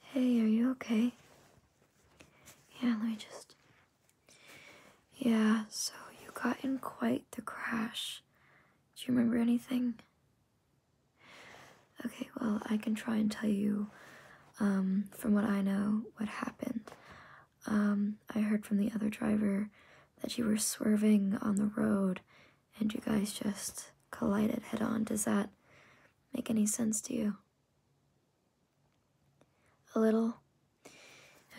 Hey, are you okay? Yeah, let me just. Yeah, so you got in quite the crash. Do you remember anything? Okay, well, I can try and tell you, um, from what I know, what happened. Um, I heard from the other driver that you were swerving on the road and you guys just collided head on. Does that make any sense to you? A little?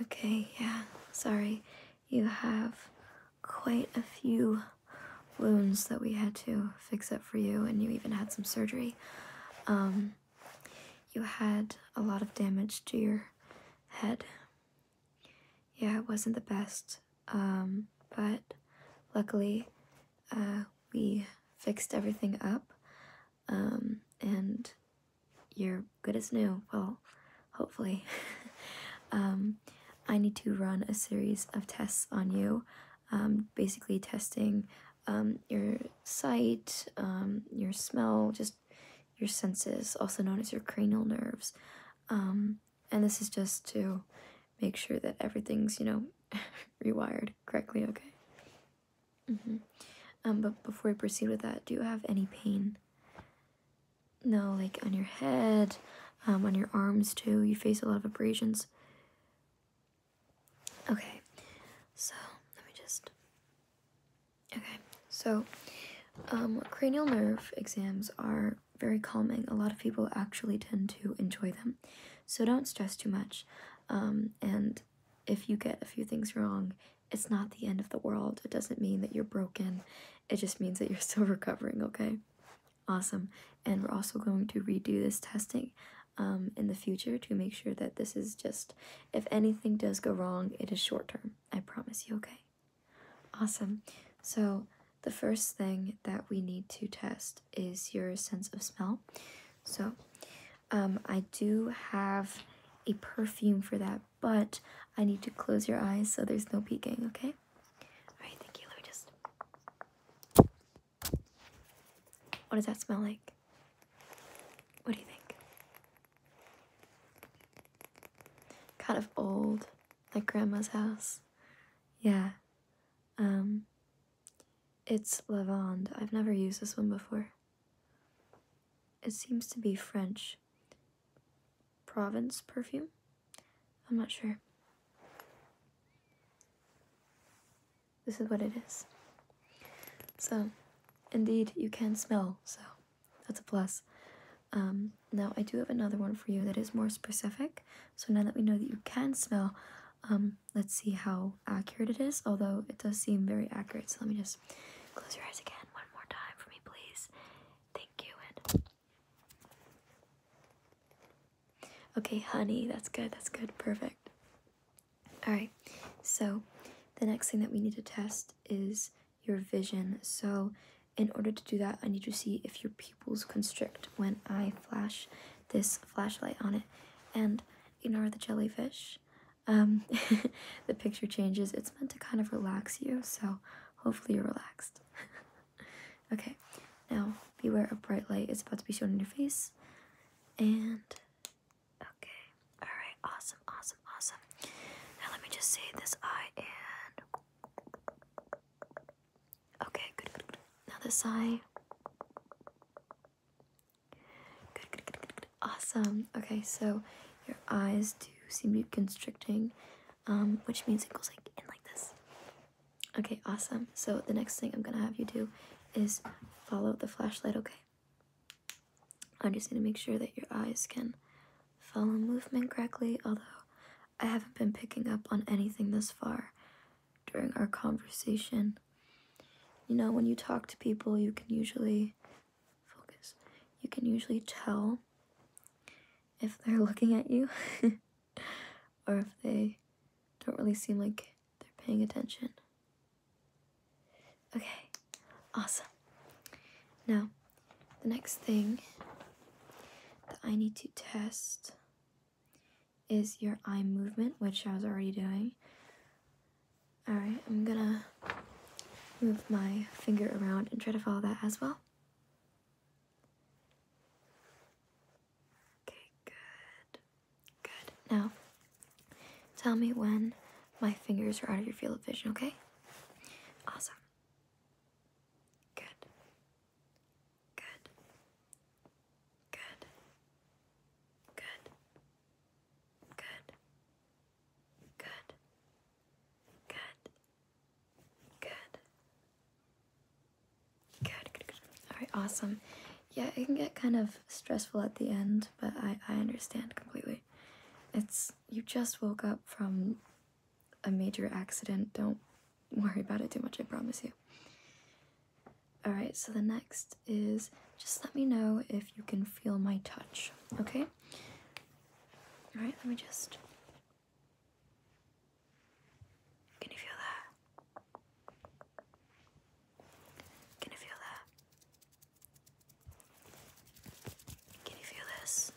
Okay, yeah, sorry. You have quite a few wounds that we had to fix up for you, and you even had some surgery. Um, you had a lot of damage to your head. Yeah, it wasn't the best, um, but luckily uh, we fixed everything up, um, and you're good as new. Well, hopefully. um, I need to run a series of tests on you, um, basically testing um, your sight, um, your smell, just your senses, also known as your cranial nerves. Um, and this is just to make sure that everything's, you know, rewired correctly, okay? Mm hmm Um, but before we proceed with that, do you have any pain? No, like on your head, um, on your arms too. You face a lot of abrasions. Okay, so let me just. Okay, so um, cranial nerve exams are very calming. A lot of people actually tend to enjoy them. So don't stress too much. Um, and if you get a few things wrong, it's not the end of the world. It doesn't mean that you're broken. It just means that you're still recovering, okay? Awesome. And we're also going to redo this testing um, in the future to make sure that this is just, if anything does go wrong, it is short term. I promise you, okay? Awesome. So, the first thing that we need to test is your sense of smell. So, um, I do have a perfume for that, but I need to close your eyes so there's no peeking, okay? Alright, thank you. Let What does that smell like? What do you think? Kind of old, like grandma's house. Yeah, um, it's Lavande. I've never used this one before. It seems to be French. Provence perfume? I'm not sure. This is what it is. So, indeed, you can smell, so that's a plus. Um, now, I do have another one for you that is more specific. So now that we know that you can smell, um, let's see how accurate it is, although it does seem very accurate. So let me just close your eyes again one more time for me, please. Thank you. okay, honey, that's good. That's good. Perfect. All right. So the next thing that we need to test is your vision. So in order to do that, I need to see if your pupils constrict when I flash this flashlight on it. And ignore the jellyfish. Um, the picture changes. It's meant to kind of relax you, so hopefully you're relaxed. okay, now beware of bright light. It's about to be shown in your face. And okay, all right, awesome, awesome, awesome. Now let me just say this eye and Okay, good, Now this eye. Good, good, good, good, good. Awesome. Okay, so your eyes do seem to be constricting, um, which means it goes like in like this. Okay, awesome. So the next thing I'm gonna have you do is follow the flashlight, okay? I'm just gonna make sure that your eyes can follow movement correctly, although I haven't been picking up on anything this far during our conversation. You know, when you talk to people, you can usually focus. You can usually tell if they're looking at you or if they don't really seem like they're paying attention. Okay, awesome. No. The next thing that I need to test is your eye movement, which I was already doing. Alright, I'm gonna move my finger around and try to follow that as well. Okay, good. Good. Now, tell me when my fingers are out of your field of vision, okay? Awesome. Good. Good. Good. Good. Good. Good. Good. Good. Good, good, good. Alright, awesome. Yeah, it can get kind of stressful at the end, but I, I understand completely. It's you just woke up from a major accident, don't worry about it too much, I promise you. Alright, so the next is just let me know if you can feel my touch, okay? Alright, let me just. Can you feel that? Can you feel that? Can you feel this?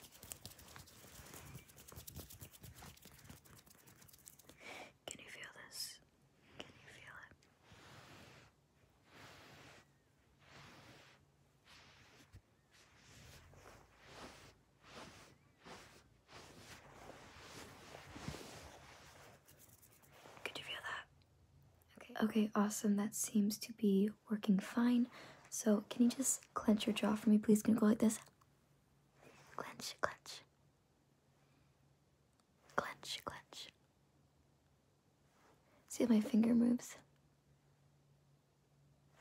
Can you feel this? Can you feel it? Could you feel that? Okay. Okay, awesome. That seems to be working fine. So can you just clench your jaw for me, please? Can you go like this? Clench, clench. Clench, clench. See how my finger moves?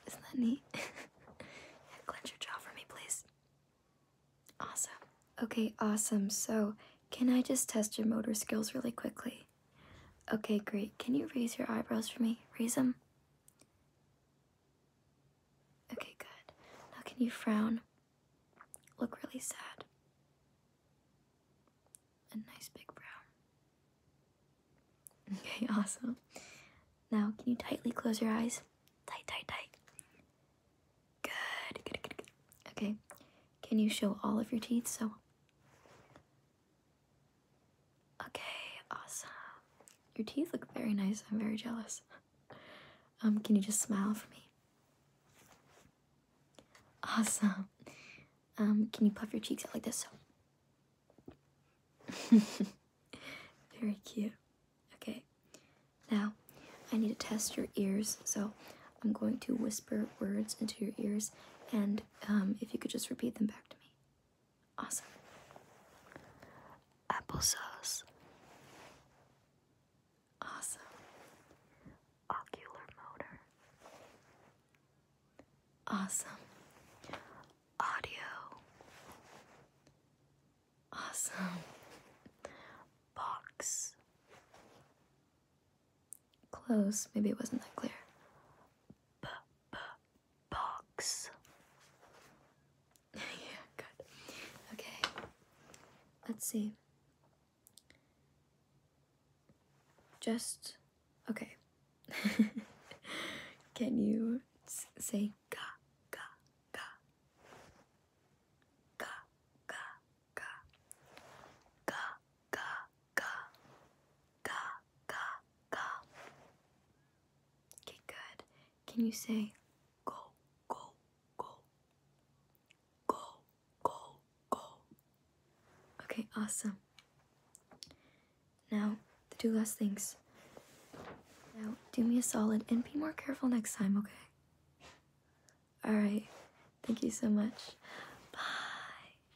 Isn't that neat? yeah, clench your jaw for me, please. Awesome. Okay, awesome. So can I just test your motor skills really quickly? Okay, great. Can you raise your eyebrows for me? Raise them. Okay, good. Now, can you frown? Look really sad. A nice big brow. Okay, awesome. Now, can you tightly close your eyes? Tight, tight, tight. Good, good, good, good. Okay, can you show all of your teeth? So, Okay, awesome. Your teeth look very nice. I'm very jealous. Um, can you just smile for me? Awesome. Um, can you puff your cheeks out like this? very cute. Okay. Now, I need to test your ears, so I'm going to whisper words into your ears, and um, if you could just repeat them back to me. Awesome. Applesauce. Awesome. Ocular motor. Awesome. Audio. Awesome. Box. Close. Maybe it wasn't that clear box. yeah, good. Okay, let's see. Just okay. Can you say ga ga ga ga ga ga ga ga ga ga, ga. Okay, good. Can you say go, go, go? Go, go, go. Okay, awesome. Now, the two last things. Now, do me a solid and be more careful next time, okay? Alright, thank you so much. Bye.